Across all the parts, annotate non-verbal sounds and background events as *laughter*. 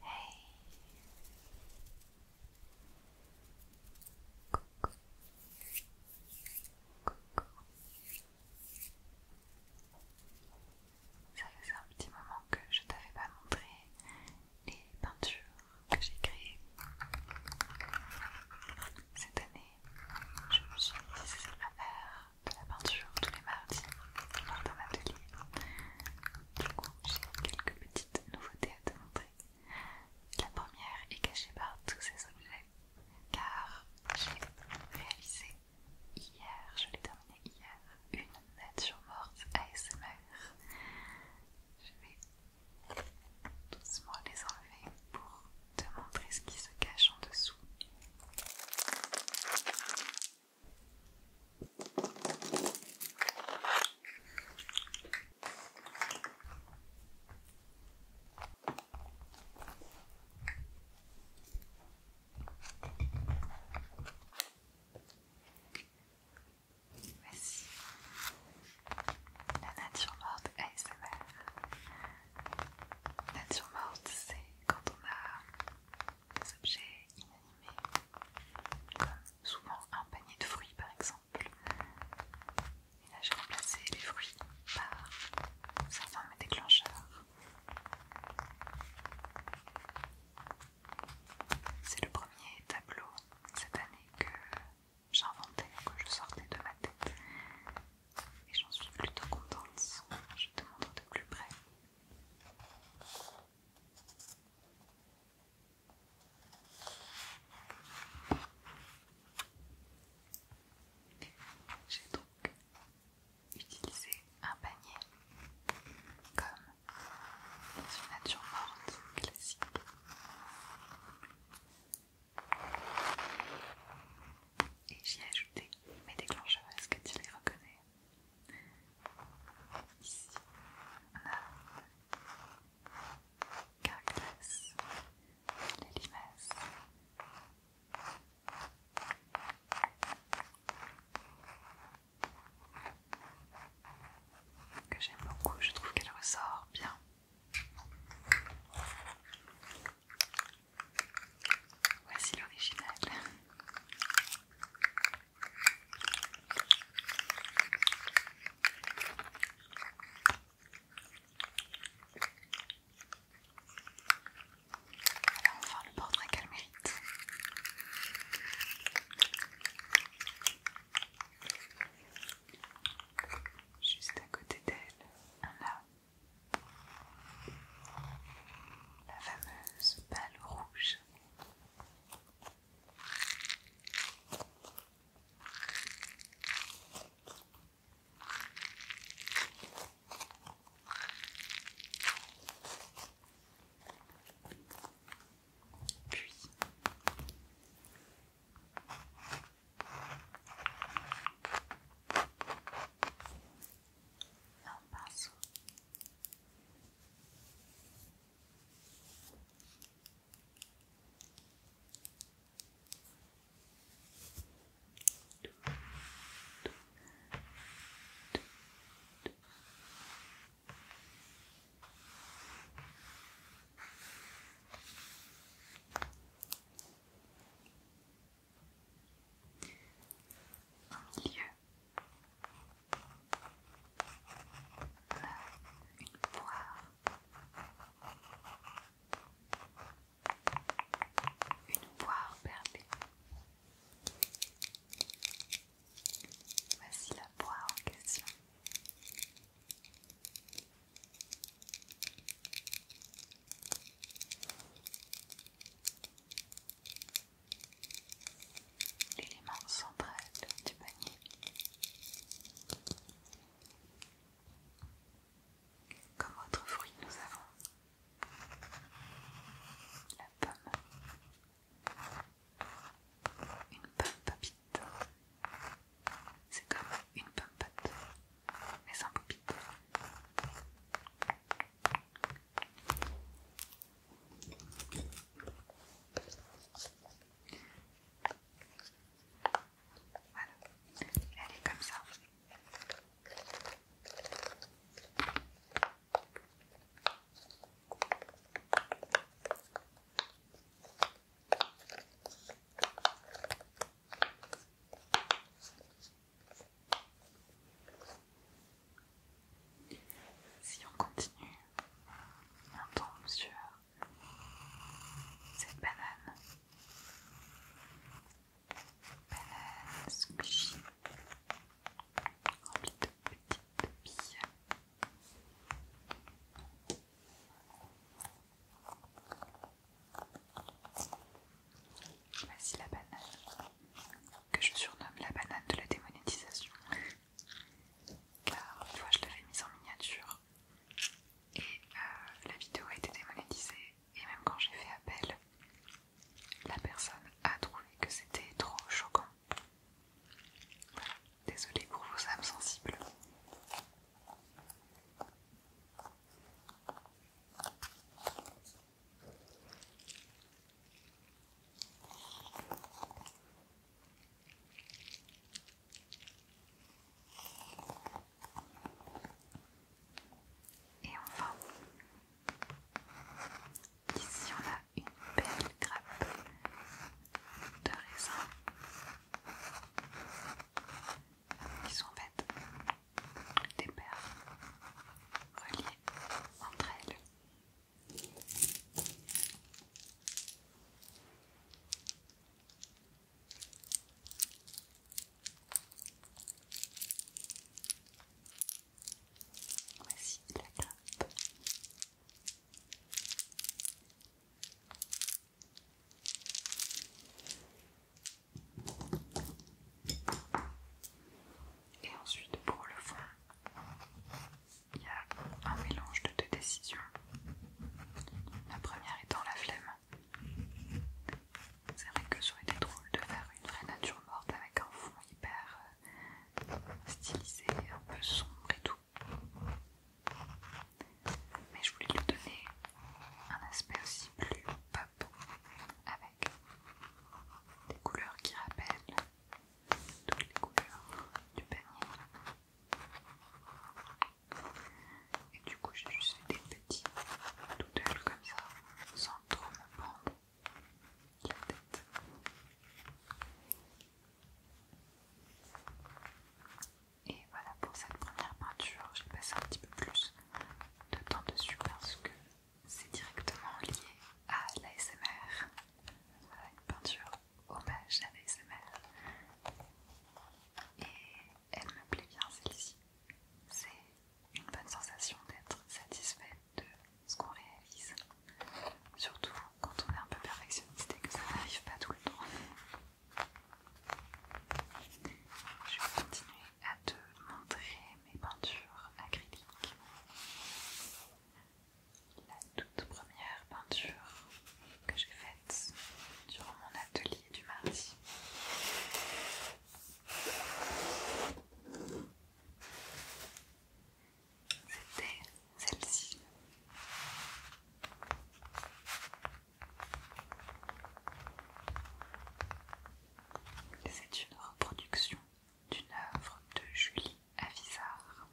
Hey Coucou Coucou Ça un petit moment que je t'avais pas montré les peintures que j'ai créées Cette année, je me suis mise à faire de la peinture tous les mardis dans d'un atelier. Du coup, j'ai quelques petites nouveautés à te montrer. La première est cachée par tous ces objets, car j'ai réalisé hier, je l'ai terminé hier, une nature morte ASMR. Je vais doucement les enlever pour te montrer ce qui se cache en dessous. Merci. La nature de ASMR. Nature morte, c'est quand on a des objets mais comme euh, souvent un panier de fruits par exemple. Et là j'ai remplacé les fruits par certains de mes déclencheurs. C'est le premier tableau cette année que j'inventais, que je sortais de ma tête. Et j'en suis plutôt contente. Je te montre de plus près. J'ai donc utilisé un panier comme une nature morte classique. Et j'y ai ajouté mes déclencheurs, est-ce que tu les reconnais Ici, on a les limaces. Que j'aime beaucoup, je trouve qu'elle ressort bien. Voici l'original va enfin le portrait qu'elle mérite. Juste à côté d'elle, un là. La fameuse balle rouge. Puis un en milieu une poire, une poire perdue. Voici la poire en question l'élément central du panier. Comme autre fruit, nous avons la pomme, une pomme popite. C'est comme une pomme pote, mais sans popite elle est comme ça. Si on continue, on tombe sur cette banane. Banane squishy, remplie de petites billes. Voici la banane, que je surnomme la banane de la démonétisation car tu vois, je l'avais mise en miniature et euh, la vidéo a été démonétisée. Et même quand j'ai fait appel, la personne a trouvé que c'était trop choquant. Voilà, désolée pour vos âmes sensibles. Et enfin, ici on a une belle grappe de raisins qui sont fait des paires reliées entre elles. Voici la grappe. Et ensuite pour le fond, il y a un mélange de deux décisions. La première étant la flemme. C'est vrai que ça aurait été drôle de faire une vraie nature morte avec un fond hyper euh, stylisé, un peu sombre et tout. Mais je voulais lui donner un aspect aussi plus pop avec des couleurs qui rappellent toutes les couleurs du panier. Et du coup, j'ai juste fait des petits doodles comme ça, sans trop me prendre la tête. Et voilà pour cette première peinture, j'ai passé un petit peu plus de temps dessus parce que c'est directement lié à l'ASMR. Voilà une peinture hommage oh bah, à Et elle me plaît bien celle-ci. C'est une bonne sensation d'être satisfaite de ce qu'on réalise. Surtout quand on est un peu perfectionniste et que ça n'arrive pas tout le temps. Je vais continuer à te montrer mes peintures acryliques la toute première peinture que j'ai faite durant mon atelier du mardi. C'était celle-ci. C'est une reproduction d'une œuvre de Julie Avisard.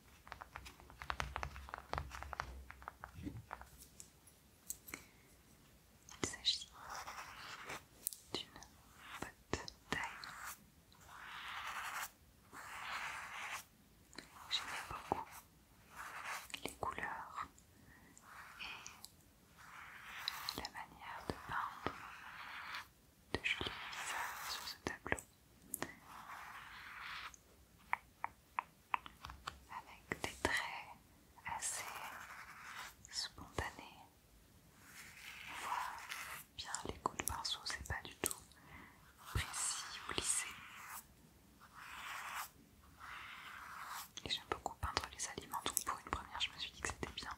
Il s'agit d'une botte taille. J'aimais beaucoup les couleurs et la manière de peindre de Julie Avisard sur ce tableau avec des traits assez spontanés. On voit bien les coups de pinceau, c'est pas du tout précis ou lissé. Et j'aime beaucoup peindre les aliments, donc pour une première je me suis dit que c'était bien.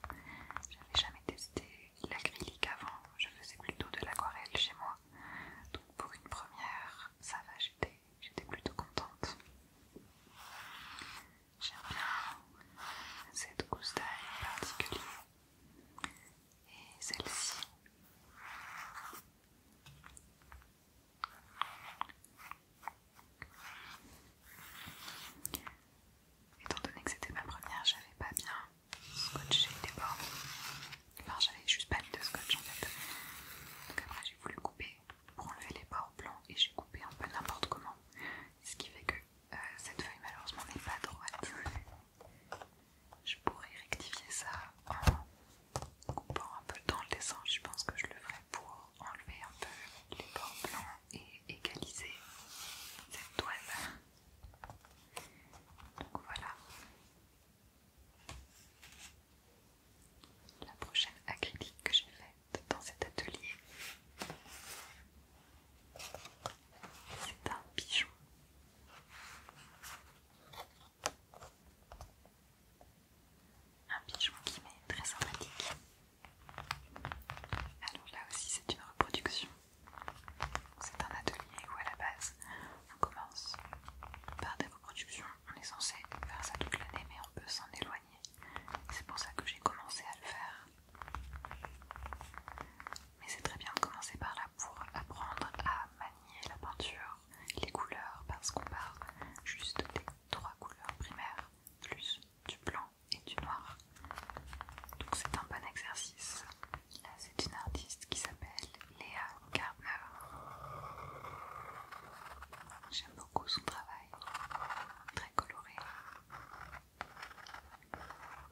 J'avais jamais testé l'acrylique avant, je faisais plutôt de l'aquarelle chez moi. Donc pour une première, ça va, j'étais plutôt contente. J'aime bien cette gousse d'ail et celle-ci. Étant donné que c'était ma première, j'avais pas bien scotché les bords. j'avais juste pas mis de scotch en fait. Donc après, j'ai voulu couper pour enlever les bords blancs et j'ai coupé un peu n'importe comment. Ce qui fait que euh, cette feuille malheureusement n'est pas droite. Je pourrais rectifier ça en coupant un peu dans le dessin. Je pense que je le ferai pour enlever un peu les bords blancs et égaliser cette toile. Donc voilà. La prochaine acrylique que j'ai faite dans cet atelier, c'est un pigeon. Un pigeon qui m'est très sympathique. Alors là aussi c'est une reproduction. C'est un atelier où à la base on commence par des reproductions. On est censé faire ça toute l'année, mais on peut s'en éloigner. C'est pour ça que j'ai commencé à le faire. Mais c'est très bien de commencer par là pour apprendre à manier la peinture, les couleurs, parce qu'on part juste des trois couleurs primaires, plus du blanc et du noir. Donc c'est un bon exercice Là, C'est une artiste qui s'appelle Léa Gardner. J'aime beaucoup son travail, très coloré.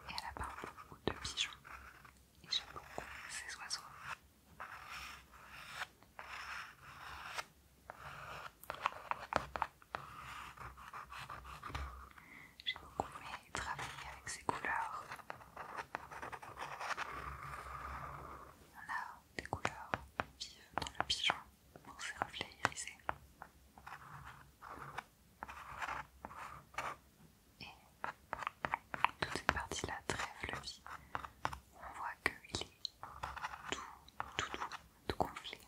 Et elle a peint beaucoup de pigeons. Et j'aime beaucoup ses oiseaux. J'ai beaucoup aimé travailler avec ses couleurs on a des couleurs vives dans le pigeon dans ses reflets irisés. Et toute cette partie-là très flevie. on voit qu'il est tout, tout doux, tout gonflé.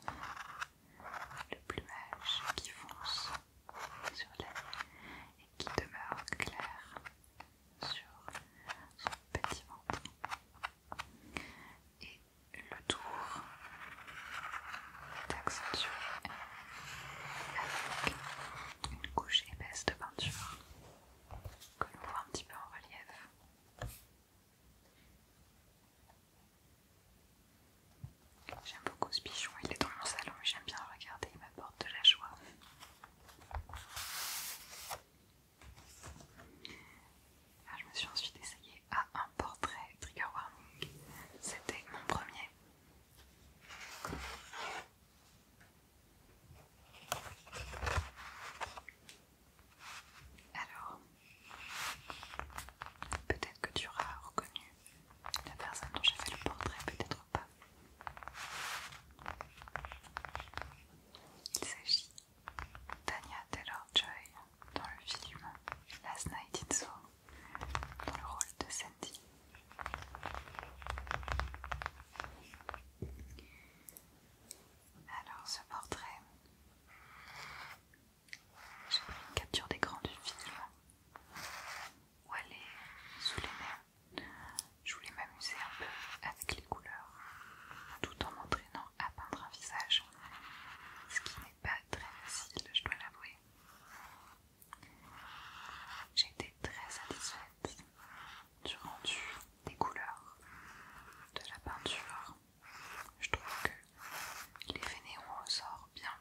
Le plumage qui fonce sur l'aile et qui demeure clair sur son petit ventre. Et le tour est accentué avec une couche épaisse de peinture que l'on voit un petit peu en relief. J'aime beaucoup ce pigeon, il est dans mon salon et j'aime bien le regarder, il m'apporte de la joie. Ah, je me suis ensuite essayée à un portrait trigger warning. C'était mon premier. Alors, peut-être que tu auras reconnu la personne dont j'ai fait le portrait, peut-être pas. Il s'agit d'Anya Taylor-Joy dans le film Last Night in Soho dans le rôle de Sandy. Alors ce portrait, j'ai pris une capture d'écran du film où elle est sous les mers? Je voulais m'amuser un peu avec les couleurs, tout en m'entraînant à peindre un visage, ce qui n'est pas très facile, je dois l'avouer. J'ai été très satisfaite du rendu des couleurs, de la peinture. Je trouve que les fainéons ressortent bien.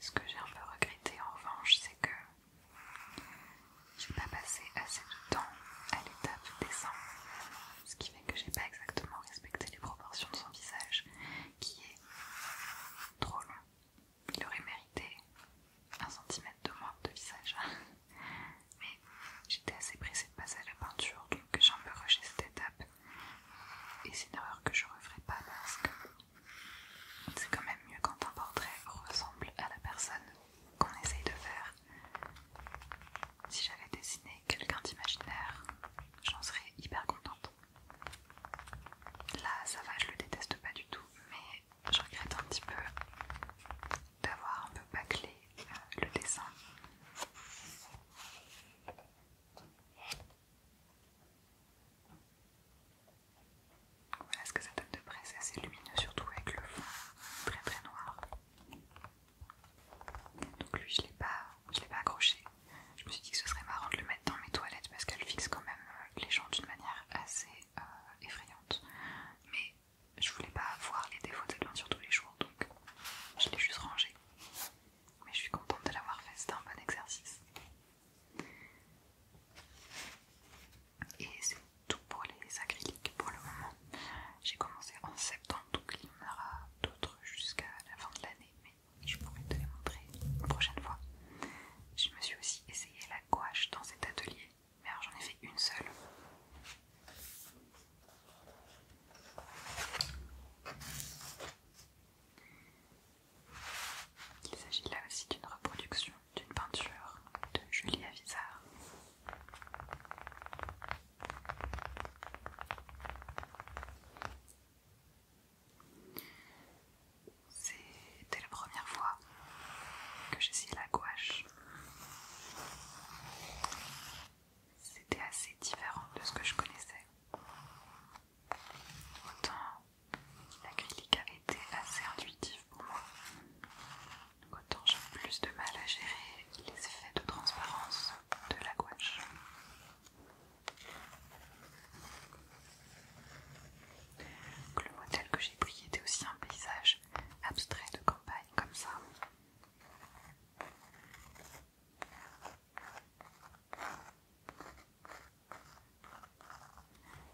Ce que j'ai un peu regretté en revanche, c'est que j'ai pas passé assez de temps à l'étape dessin, ce qui fait que j'ai pas exactement respecté les proportions de son visage, qui est trop long. Il aurait mérité un centimètre de moins de visage, *laughs* mais j'étais assez pressée de passer à la peinture, donc j'ai un peu rushé cette étape. Et c'est une erreur que je referai pas parce que c'est quand même mieux quand un portrait ressemble à la personne qu'on essaye de faire. Si j'avais dessiné quelqu'un d'imaginaire, j'en serais hyper contente. Là, ça va, je le déteste pas du tout, mais je regrette un petit peu d'avoir un peu bâclé euh, le dessin. Voilà ce que ça donne de près, c'est assez lumineux, surtout avec le fond très très noir. Donc lui je l'ai pas, l'ai pas accroché. Je me suis dit que ce serait marrant de le mettre dans mes toilettes parce qu'elle fixe quand même euh, les gens d'une manière assez euh, effrayante. Mais je voulais pas avoir les défauts de cette sur tous les jours, donc je l'ai juste rangé. Mais je suis contente de l'avoir fait, c'était un bon exercice. Et c'est tout pour les acryliques pour le moment. J'ai commencé en septembre, donc il y en aura d'autres jusqu'à la fin de l'année, mais je pourrai te les montrer une prochaine fois. Je me suis aussi essayé la gouache dans cet atelier, mais alors j'en ai fait une seule. Il s'agit là aussi d'une reproduction d'une peinture de Julia Vizard. C'était la première fois que j'essayais la gouache. C'était assez différent de ce que je connaissais. Autant l'acrylique avait été assez intuitif pour moi. autant j'ai plus de mal à gérer les effets de transparence de la gouache. le modèle que j'ai pris était aussi un paysage abstrait de campagne comme ça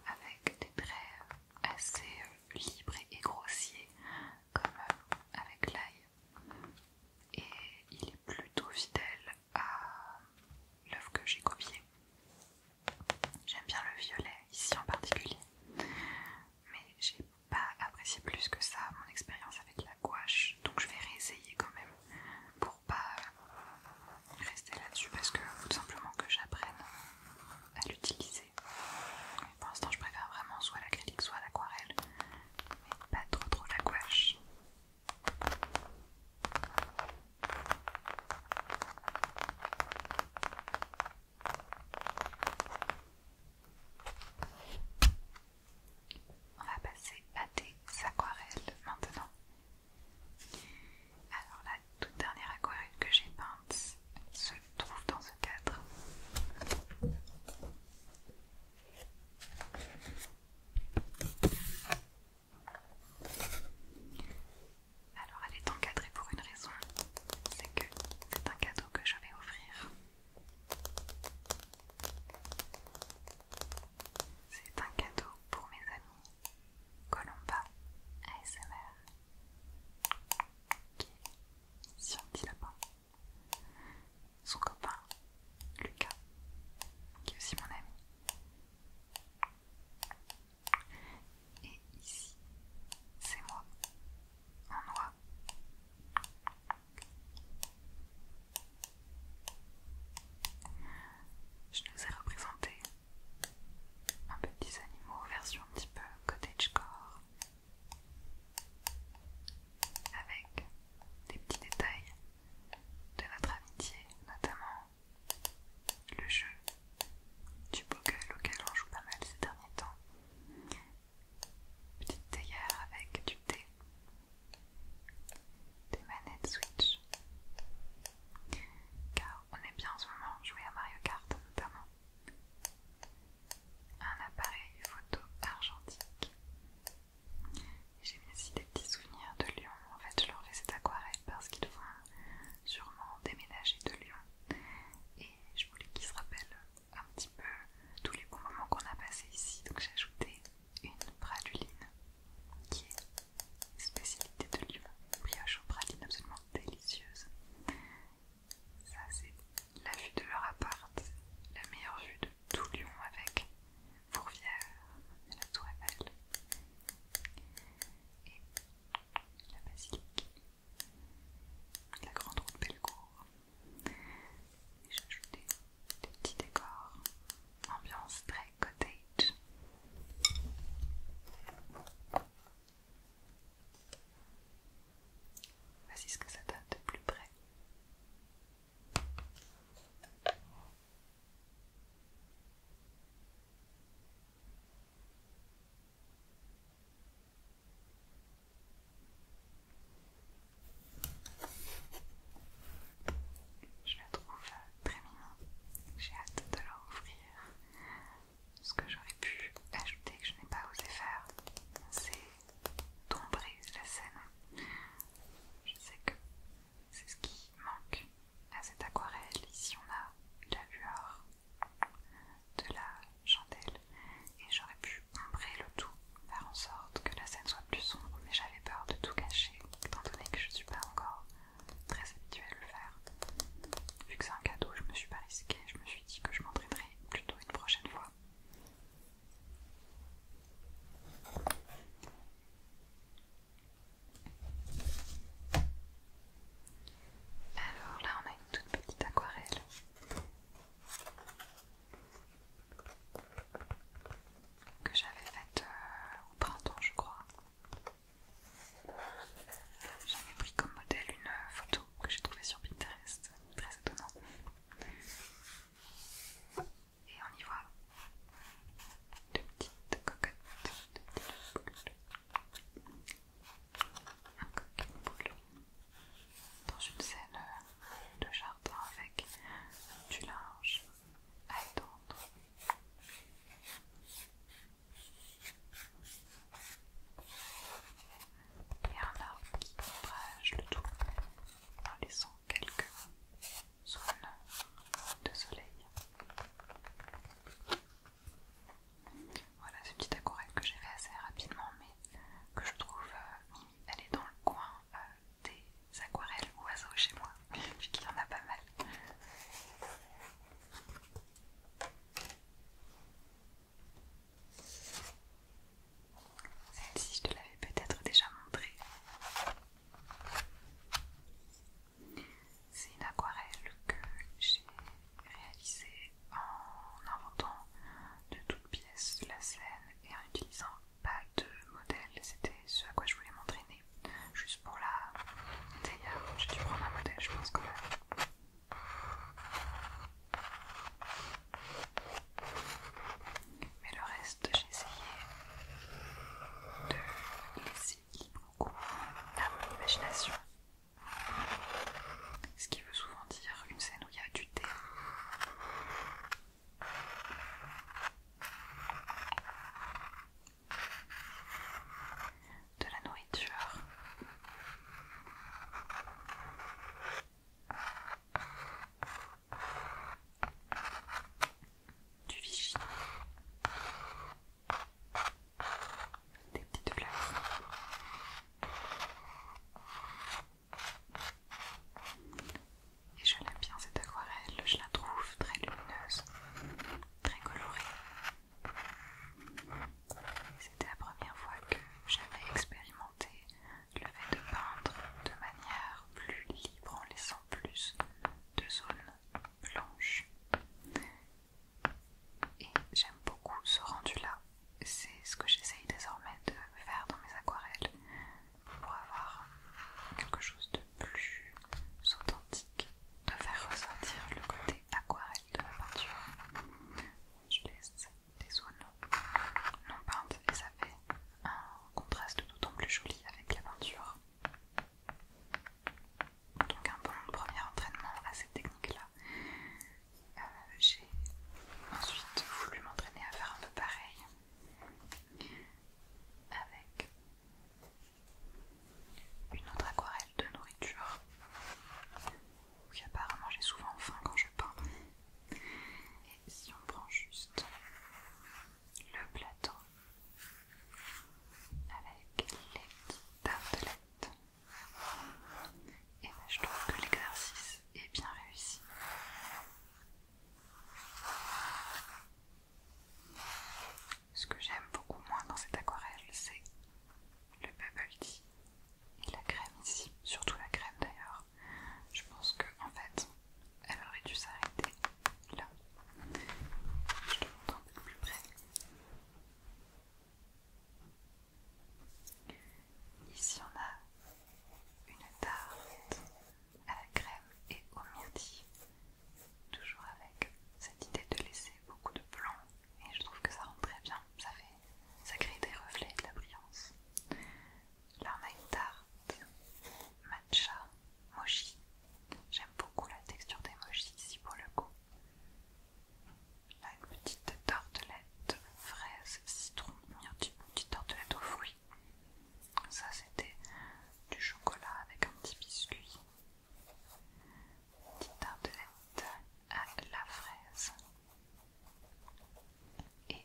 avec des traits assez euh, libres et grossiers comme euh, avec l'ail et il est plutôt fidèle à l'œuf que j'ai copié. J'aime bien le violet ici en particulier mais j'ai pas apprécié plus que ça mon expérience avec la gouache donc je vais réessayer quand même pour pas euh, rester là-dessus parce que tout simplement que j'apprenne à l'utiliser. Pour l'instant, je préfère vraiment soit l'acrylique, soit l'aquarelle, mais pas trop trop la gouache. On va passer à des aquarelles maintenant. Alors la toute dernière aquarelle que j'ai peinte se trouve dans ce cadre. Alors elle est encadrée pour une raison, c'est que c'est un cadeau que je vais offrir. C'est un cadeau pour mes amis Colomba ASMR qui est sur lapin. Son copain Lucas, qui est aussi mon ami. Et ici, c'est moi, en noix. Je nous ai représenté un petit animaux, version un petit peu cottagecore, avec des petits détails de notre amitié, notamment le jeu du boggle auquel on joue pas mal ces derniers temps. Petite théière avec du thé, des manettes Switch, car on est bien en ce moment jouer à Mario Kart notamment. Un appareil photo argentique. J'ai mis aussi des petits souvenirs de Lyon. En fait, je leur fais cette aquarelle parce qu'ils vont sûrement déménager de Lyon. Et je voulais qu'ils se rappellent un petit peu tous les bons moments qu'on a passés ici. Donc j'ai ajouté une praluline qui est spécialité de Lyon, brioche aux pralines absolument délicieuse. Ça c'est la vue de leur appart, la meilleure vue de tout Lyon avec Fourvière la Tour Eiffel et la basilique, la grande route Bellecour. Et j'ai ajouté des petits décors, ambiance très Cottage. Voici ce que ça donne de plus près. Je la trouve euh, très mignon. J'ai hâte de leur Ce que j'aurais pu ajouter que je n'ai pas osé faire, c'est dombrer la scène. Je sais que c'est ce qui manque à cette aquarelle. Ici on a la lueur de la chandelle et j'aurais pu ombrer le tout, faire en sorte que la scène soit plus sombre, mais j'avais peur de tout cacher, étant donné que je ne suis pas encore très habitué à le faire. Vu que c'est un cadeau, je me suis pas risquée, je me suis dit que je m'en priverai plutôt une prochaine fois. Alors là, on a une toute petite aquarelle. Que j'avais faite euh, au printemps, je crois. J'avais pris comme modèle une euh, photo que j'ai trouvée sur Pinterest, très étonnant. Et on y voit deux petites cocottes, deux un coq boulot dans une scène euh, de jardin avec du linge à étendre et un arbre qui ombrage le tout en laissant quelques zones de soleil. Voilà ce petit aquarelle que j'ai fait assez rapidement mais que je trouve euh, elle est dans le coin euh, des aquarelles oiseaux chez moi, *laughs* qu'il y en a pas mal. Celle-ci, je te l'avais peut-être déjà montrée. C'est une aquarelle que j'ai réalisée en inventant de toutes pièces la scène et en utilisant pas de modèle. C'était ce à quoi je voulais m'entraîner. Juste pour la... Je j'ai dû prendre un modèle, je pense quand même. Mais le reste, j'ai essayé de laisser beaucoup cours à mon imagination. Ce qui veut souvent dire une scène où il y a du thé de la nourriture. Du vichy. Des petites fleurs. Et je l'aime bien cette aquarelle, je la trouve très lumineuse, très colorée. C'était la première fois que j'avais expérimenté le fait de peindre de manière plus libre en laissant plus de zones blanches. Et j'aime beaucoup ce rendu-là. C'est ce que j'essaye désormais de faire dans mes aquarelles pour avoir quelque chose de plus authentique, de faire ressortir le côté Aquarelle de la peinture. Je laisse des zones non peintes et ça fait un contraste d'autant plus joli avec la peinture. Donc un bon premier entraînement à cette technique-là. Euh, j'ai ensuite voulu m'entraîner à faire un peu pareil avec une autre aquarelle de nourriture. qui apparemment, j'ai souvent faim quand je peins. Et si on prend juste le plateau avec les tartelettes, et ben, je trouve que l'exercice est bien réussi. Ce que j'aime beaucoup moins dans cette aquarelle, c'est le bubble tea et la crème ici, surtout la crème d'ailleurs. Je pense que en fait, elle aurait dû s'arrêter là. Je te montre un peu plus près. Ici, on a une tarte à la crème et au myrtille, toujours avec cette idée de laisser beaucoup de blanc et je trouve que ça rend très bien, ça, fait, crée des reflets de la brillance. Là on a une tarte, matcha, mochi. J'aime beaucoup la texture des mochis ici pour le coup. Là une petite tortelette fraise, citron, une petite tortelette aux fruits. Ça c'était du chocolat avec un petit biscuit Petite tartelette à la fraise. Et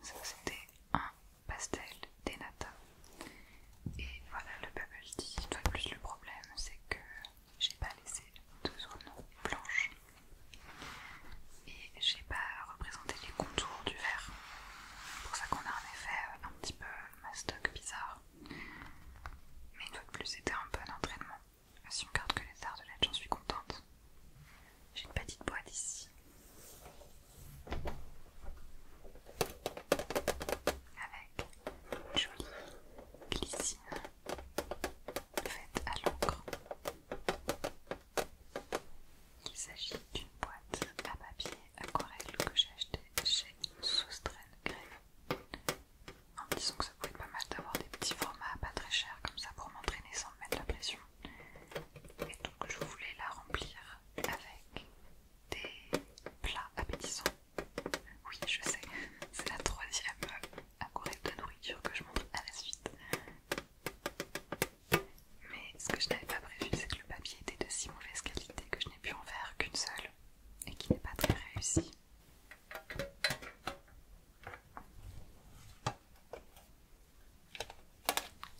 ça c'était un pastel d'Enata, Et voilà le bubble tea. de plus le problème c'est que j'ai pas laissé deux zones blanches. Et j'ai pas représenté les contours du verre. C'est pour ça qu'on a un effet euh, un petit peu mastoc bizarre. Mais une fois de plus c'était un peu un entraînement. Si on garde que les l'aide j'en suis contente. J'ai une petite boîte ici. Avec une jolie glycine faite à l'encre. Il s'agit d'une boîte à papier aquarelle que j'ai achetée chez Soustraine Grève en disant que ça pouvait être pas mal d'avoir des petits formats pas très chers comme ça pour m'entraîner sans me mettre la pression. Et donc je voulais la remplir avec des plats appétissants. Oui, je sais, *laughs* c'est la troisième algorithme de nourriture que je montre à la suite. Mais ce que je n'avais pas prévu, c'est que le papier était de si mauvaise qualité que je n'ai pu en faire qu'une seule et qui n'est pas très réussie.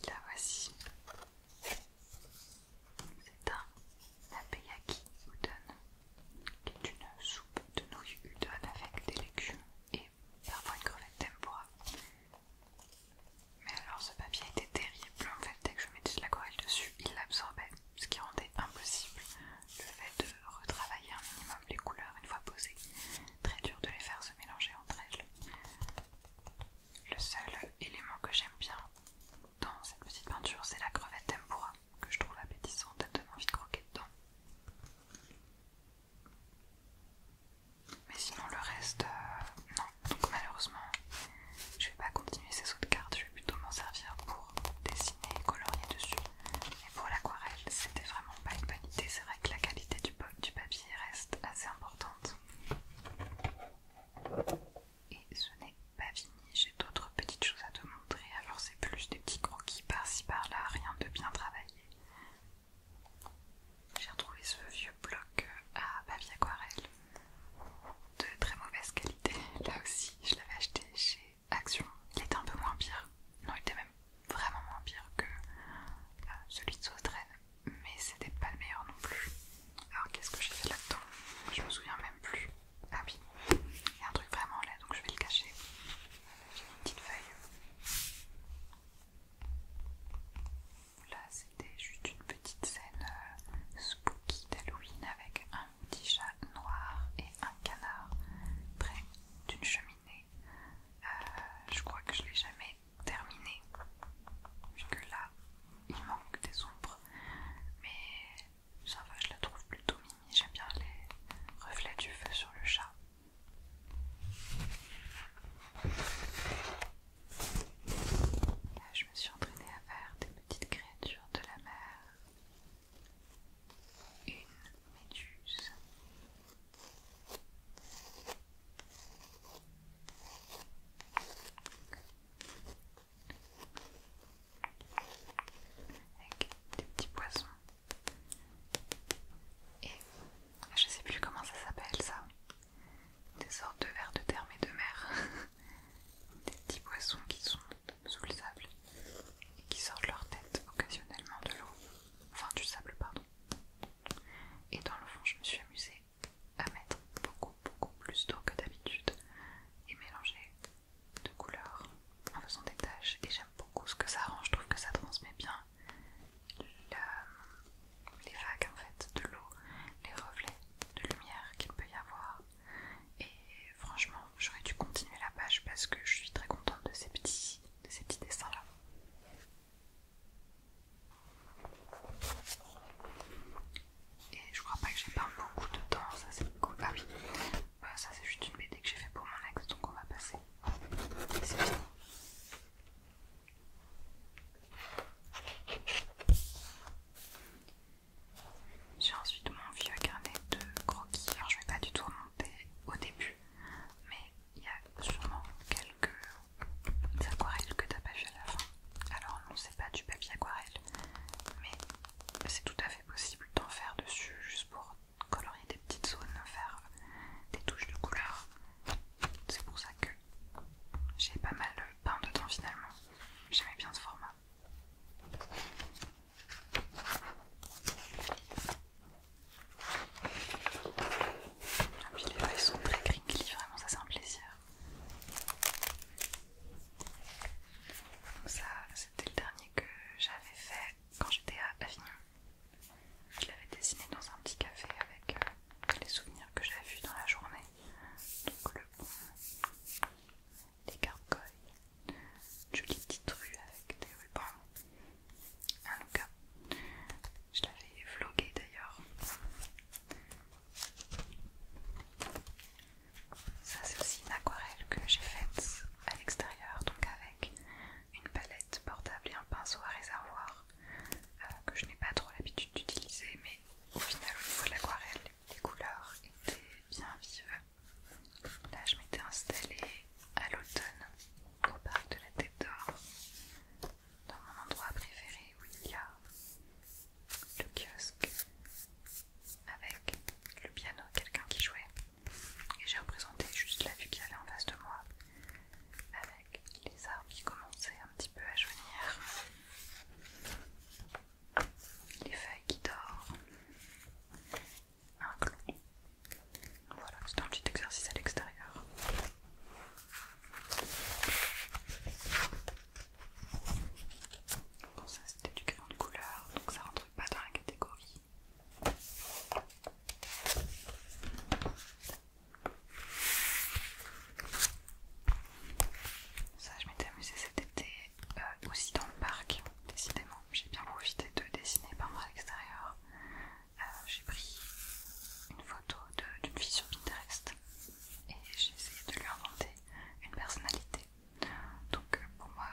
La voici. C'est un napeyaki udon, qui est une soupe de nouilles udon avec des légumes et parfois une crevette tempora. Mais alors ce papier était terrible en fait, dès que je mettais de l'aquarelle dessus, il l'absorbait, ce qui rendait impossible le fait de retravailler un minimum les couleurs une fois posées, très dur de les faire se mélanger entre elles. Le seul élément que j'aime bien dans cette petite peinture, c'est la crevette tempura que je trouve appétissante, elle donne envie de croquer dedans. Mais sinon le reste, euh, non. Donc malheureusement, je vais pas continuer ces sauts de cartes, je vais plutôt m'en servir pour dessiner et colorier dessus. Et pour l'aquarelle, c'était vraiment pas une bonne idée. C'est vrai que la qualité du, du papier reste assez importante. Et ce n'est pas fini, j'ai d'autres petites choses à te montrer. Alors, c'est plus des petits croquis par-ci par-là, rien de bien travaillé. J'ai retrouvé ce vieux bloc euh, à papier aquarelle de très mauvaise qualité. Là aussi, je l'avais acheté chez Action, il était un peu moins pire. Non, il était même vraiment moins pire que euh, celui de Saustraine, mais c'était pas le meilleur non plus. Alors qu'est-ce que j'ai fait là-dedans Je me souviens même plus. Ah oui, il y a un truc vraiment là, donc je vais le cacher. Euh, j'ai une petite feuille. Là, c'était juste une petite scène euh, spooky d'Halloween avec un un petit chat noir et un canard près d'une cheminée. Euh, je crois que je l'ai jamais terminé, puisque là il manque des ombres, mais ça va, je la trouve plutôt mimi. J'aime bien les reflets du feu sur le chat. Là, je me suis entraînée à faire des petites créatures de la mer une méduse. Avec des petits poissons. Et ah, je sais plus comment ça s'appelle ça. Des sortes de vers de terre mais de mer. *laughs* des petits poissons qui sont sous le sable et qui sortent leur tête occasionnellement de l'eau, enfin du sable pardon. Et dans le fond, je me suis amusée à mettre beaucoup beaucoup plus d'eau que d'habitude et mélanger de couleurs en faisant des taches. Et j'aime beaucoup ce que ça rend, je trouve que ça transmet bien les vagues en fait de l'eau, les reflets de lumière qu'il peut y avoir. Et franchement, j'aurais dû continuer la page parce que je suis très contente de ces petits, dessins-là. Et je crois pas que j'ai pas beaucoup de temps, ça c'est ah oui, bah, ça c'est juste une BD que j'ai fait pour mon ex, donc on va passer. J'ai ensuite mon vieux carnet de croquis. Alors je vais pas du tout au début, mais il y a sûrement quelques aquarelles que t'as pas fait à la fin. Alors non, c'est pas du papier aquarelle, mais c'est tout à fait possible d'en faire dessus juste pour colorier des petites zones, faire des touches de couleur. C'est pour ça que j'ai pas mal peint dedans finalement. J'aimais bien ce format. Et ah les feuilles sont très crinkly, vraiment ça c'est un plaisir. ça c'était le dernier que j'avais fait quand j'étais à Avignon. Je l'avais dessiné dans un petit café avec euh, les souvenirs que j'avais vus dans la journée. Donc le les gargoyles jolie petite rue avec des rubans. En tout je l'avais vlogué d'ailleurs. Ça, c'est aussi une aquarelle que j'ai faite à l'extérieur, donc avec une palette portable et un pinceau à réservoir euh, que je n'ai pas trop l'habitude d'utiliser, mais au final, au l'aquarelle, les couleurs étaient bien vives Là, je m'étais installée à l'automne au parc de la Tête d'Or, dans mon endroit préféré où il y a le kiosque avec le piano, quelqu'un qui jouait. Et j'ai représenté juste la vue qui allait en face de moi, avec les arbres qui commençaient un petit peu à jaunir, les feuilles qui dorment, un Voilà, c'est un petit exercice à l'extérieur. Bon, ça c'était du crayon de couleur, donc ça rentre pas dans la catégorie. Ça, je m'étais amusée cet été euh, aussi dans le parc, décidément j'ai bien profité de dessiner par moi l'extérieur. Euh, j'ai pris une photo d'une fille sur Pinterest et j'ai essayé de lui inventer une personnalité. Donc euh, pour moi,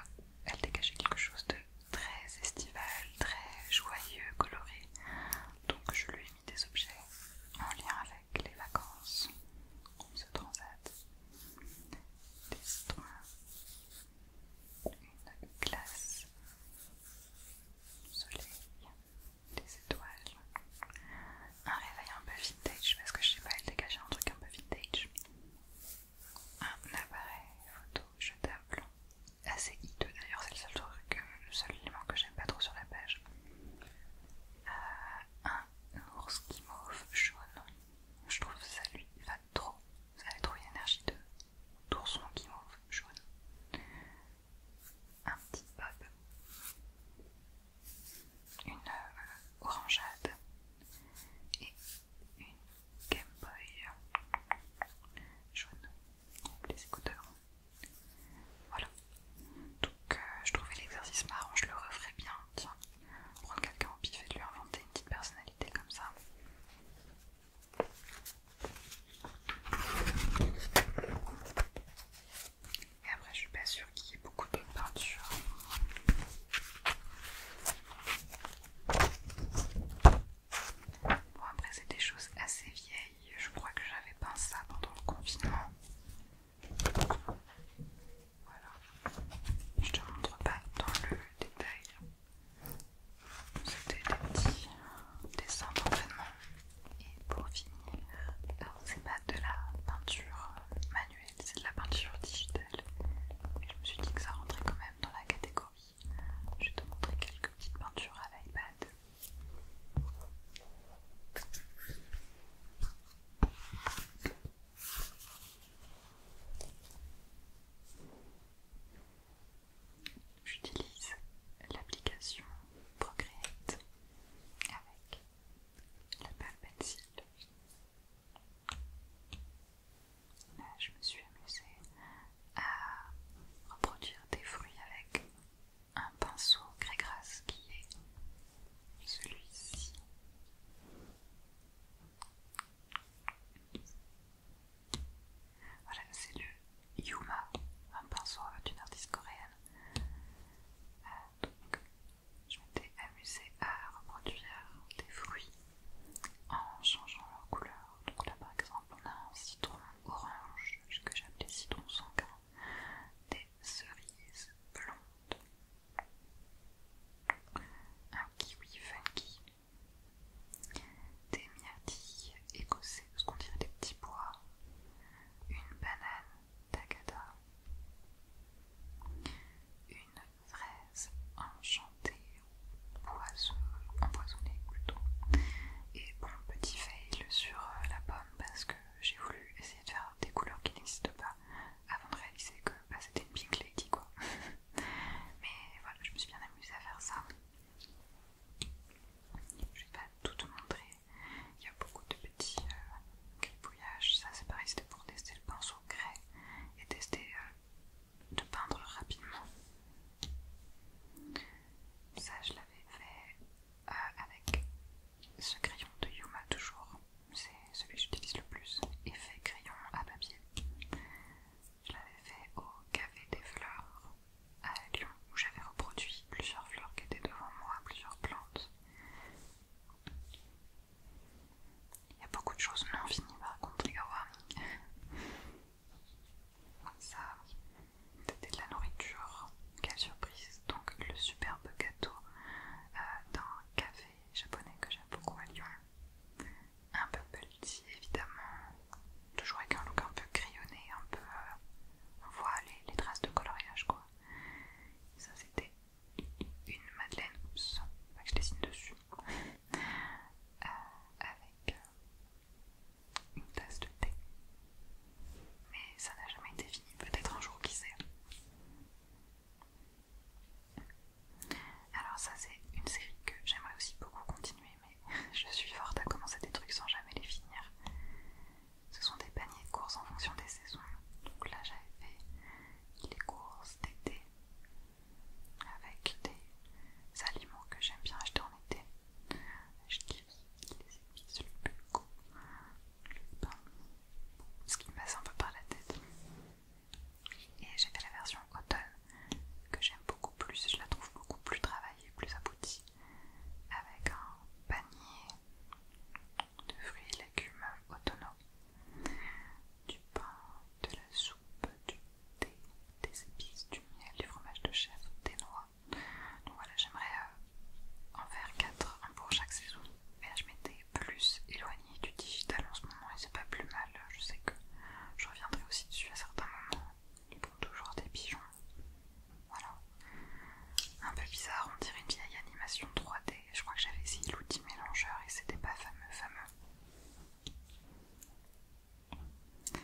elle dégageait quelque chose de très estival, très joyeux, coloré. Donc je lui ai mis des objets en lien avec les vacances, on se transat, des une glace, soleil, des étoiles, un réveil un peu vintage parce que je sais pas, il dégageait un truc un peu vintage, un appareil photo jetable, assez hideux d'ailleurs, c'est le seul truc, le seul élément que j'aime pas trop sur la page, euh, un ours qui mauve jaune, je trouve ça lui va trop, ça va trop une de d'ourson m'ouvre, jaune, un petit bob, une euh, orangeade et une Game Boy jaune, les écouteurs. Voilà. Donc euh, je trouvais l'exercice marrant, je le referais bien. Tiens, on prend quelqu'un au pif et de lui inventer une petite personnalité comme ça. Et après, je suis pas sûre qu'il y ait beaucoup de peinture. Bon, après, c'est des choses assez vieilles. Je crois que j'avais peint ça pendant le confinement. Voilà. Je te montre pas dans le détail. C'était des petits dessins d'entraînement. Et pour finir, c'est pas de la peinture manuelle, c'est de la peinture digitale. Et je me suis dit que ça rentrait quand même dans la catégorie. Je vais te montrer quelques petites peintures à l'iPad j'utilise l'application Procreate avec la pâte pencil. Là, je me suis amusée à reproduire des fruits avec un pinceau gris-gras qui est celui-ci. Voilà, c'est du Yuma, un pinceau d'une artiste coréenne. Euh, donc, je m'étais amusée à reproduire des fruits en changeant leur couleur. Donc là par exemple on a un citron orange, ce que j'appelais citron sanguin, des cerises blondes, un kiwi funky des myrtilles écossais, parce qu'on dirait des petits pois, une banane tagada, une fraise enchantée ou empoisonnée plutôt, et bon petit fail sur euh, la pomme parce que j'ai voulu essayer de faire des couleurs qui n'existent pas avant de réaliser que bah, c'était une pink lady quoi. *laughs* Mais voilà, je me suis bien amusée à faire ça. Je vais pas tout montrer. Il y a beaucoup de petits cribouillages. Euh, Ça, c'est pareil, c'était pour tester le pinceau grès et tester euh, de peindre rapidement. Ça, je l'avais fait euh, avec ce crayon de Yuma, toujours. C'est celui que j'utilise le plus. Effet crayon à papier. Je l'avais fait au Café des Fleurs à Lyon, où j'avais reproduit plusieurs fleurs qui étaient devant moi, plusieurs plantes. Il y a beaucoup de choses non finies par contre, les Ça, c'était de la nourriture, quelle surprise! Donc, le superbe gâteau euh, d'un café japonais que j'aime beaucoup à Lyon un peu petit évidemment, toujours avec un look un peu crayonné, un peu... Euh, on voit les, traces de coloriage quoi. Ça c'était une madeleine, oups, que je dessine dessus, euh, avec euh, une tasse de thé. Mais ça n'a jamais été fini, peut-être un jour, qui sait. Alors ça c'est une série que j'aimerais aussi beaucoup continuer mais je suis forte à commencer des trucs sans jamais les finir. Ce sont des paniers de courses en fonction des saisons. Donc là, j'avais fait les courses d'été avec des aliments que j'aime bien acheter en été. Je les épices, le bulgo, le pain, ce qui me passe un peu par la tête. Et j'ai fait la version automne que j'aime beaucoup plus, je la trouve beaucoup plus travaillée plus abouti avec un panier de fruits et légumes autonomes, du pain, de la soupe, du thé, des épices, du miel, du fromage de chèvre, des noix. Donc voilà, j'aimerais euh, en faire 4, pour chaque saison. Mais je m'étais plus éloignée du digital en ce moment et c'est pas plus mal. Je sais que je reviendrai aussi dessus à certains moments ils font toujours des pigeons. Voilà. Un peu bizarre, on dirait une vieille animation 3D. Je crois que j'avais essayé l'outil mélangeur et c'était pas fameux, fameux.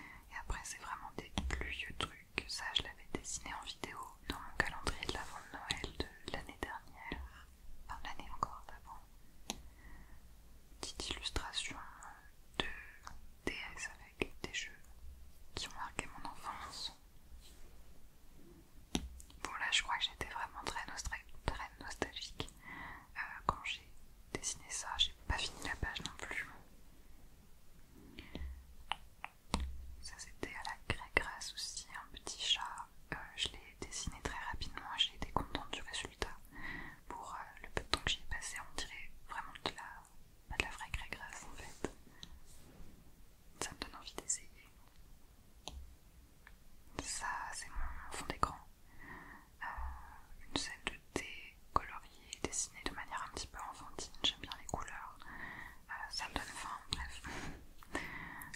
Et après, c'est vraiment des plus vieux trucs. Ça, je l'avais dessiné en vidéo dans mon calendrier de l'avant de Noël de l'année dernière. Enfin, l'année encore d'avant petite illustration de DS avec des jeux qui ont marqué mon enfance. Bon là je crois que j'étais vraiment très, nostalgique euh, quand j'ai dessiné ça, j'ai pas fini la page non plus. Ça c'était à la grasse aussi, un petit chat. Euh, je l'ai dessiné très rapidement et j'ai été contente du résultat. Pour euh, le peu de temps que j'y ai passé, on dirait vraiment de la de la vraie craie en fait. Ça me donne envie d'essayer. Ça, c'est mon fond d'écran. Euh, une scène de thé coloriée, dessinée de manière un petit peu enfantine. J'aime bien les couleurs. Euh, ça me donne faim, bref.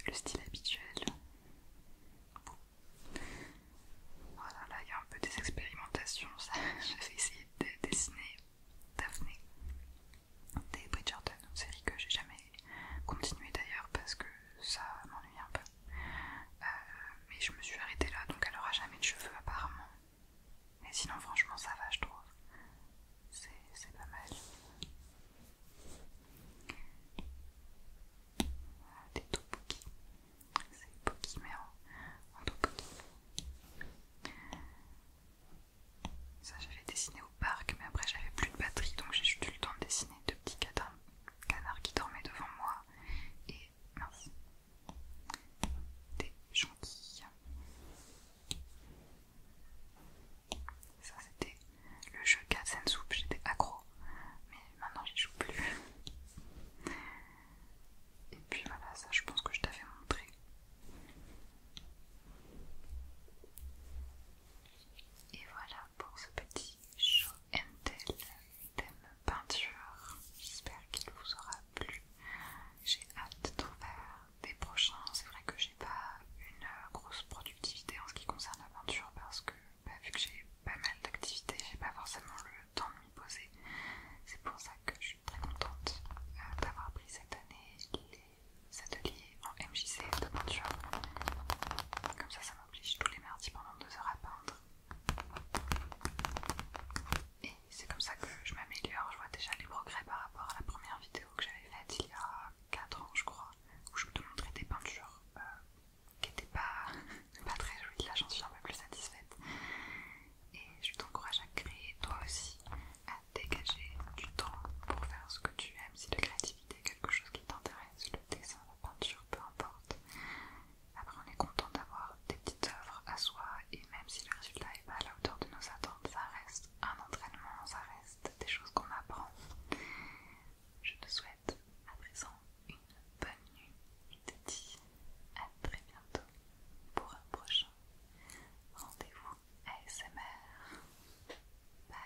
Le style habituel. Voilà, là il y a un peu des expérimentations. Je ça. *laughs* vais essayer de dessiner Daphné des Bridgerton, une série que j'ai jamais continuée d'ailleurs parce que ça m'ennuie un peu. Euh, mais je me suis arrêtée là, donc elle aura jamais de cheveux apparemment. Mais sinon, franchement, ça va, je trouve. C'est pas mal. Des bookies. C'est Pokémon. Ça j'avais dessiné au parc mais après j'avais plus de batterie donc j'ai juste eu le temps de dessiner deux petits canards, qui dormaient devant moi et merci. Des jonquilles. Ça c'était le jeu Cats Soup, j'étais accro, mais maintenant j'y joue plus. Et puis voilà, ça je pense que je t'avais montré. Et voilà pour ce petit show and peinture. J'espère qu'il vous aura plu. J'ai hâte d'en faire des prochains. C'est vrai que j'ai pas une grosse productivité en ce qui concerne la peinture parce que bah, vu que j'ai pas mal d'activités, j'ai pas forcément le temps de m'y poser. C'est pour ça que je suis très contente euh, d'avoir pris cette année les ateliers en MJC de peinture. Comme ça, ça m'oblige tous les mardis pendant deux heures à peindre. Et c'est comme ça que je m'améliore. Je vois déjà les progrès par rapport à la première vidéo que j'avais faite il y a 4 ans, je crois, où je vous montrais des peintures euh, qui n'étaient *laughs* pas très jolies. Là, j'en suis un peu plus satisfaite et je t'encourage à créer toi aussi, à dégager du temps pour faire ce que tu aimes. Si la créativité est quelque chose qui t'intéresse, le dessin, la peinture, peu importe. Après, on est content d'avoir des petites œuvres à soi et même si le résultat n'est pas à la hauteur de nos attentes, ça reste un entraînement, ça reste des choses qu'on apprend. Je te souhaite à présent une bonne nuit et te dis à très bientôt pour un prochain Rendez-vous ASMR. Bye.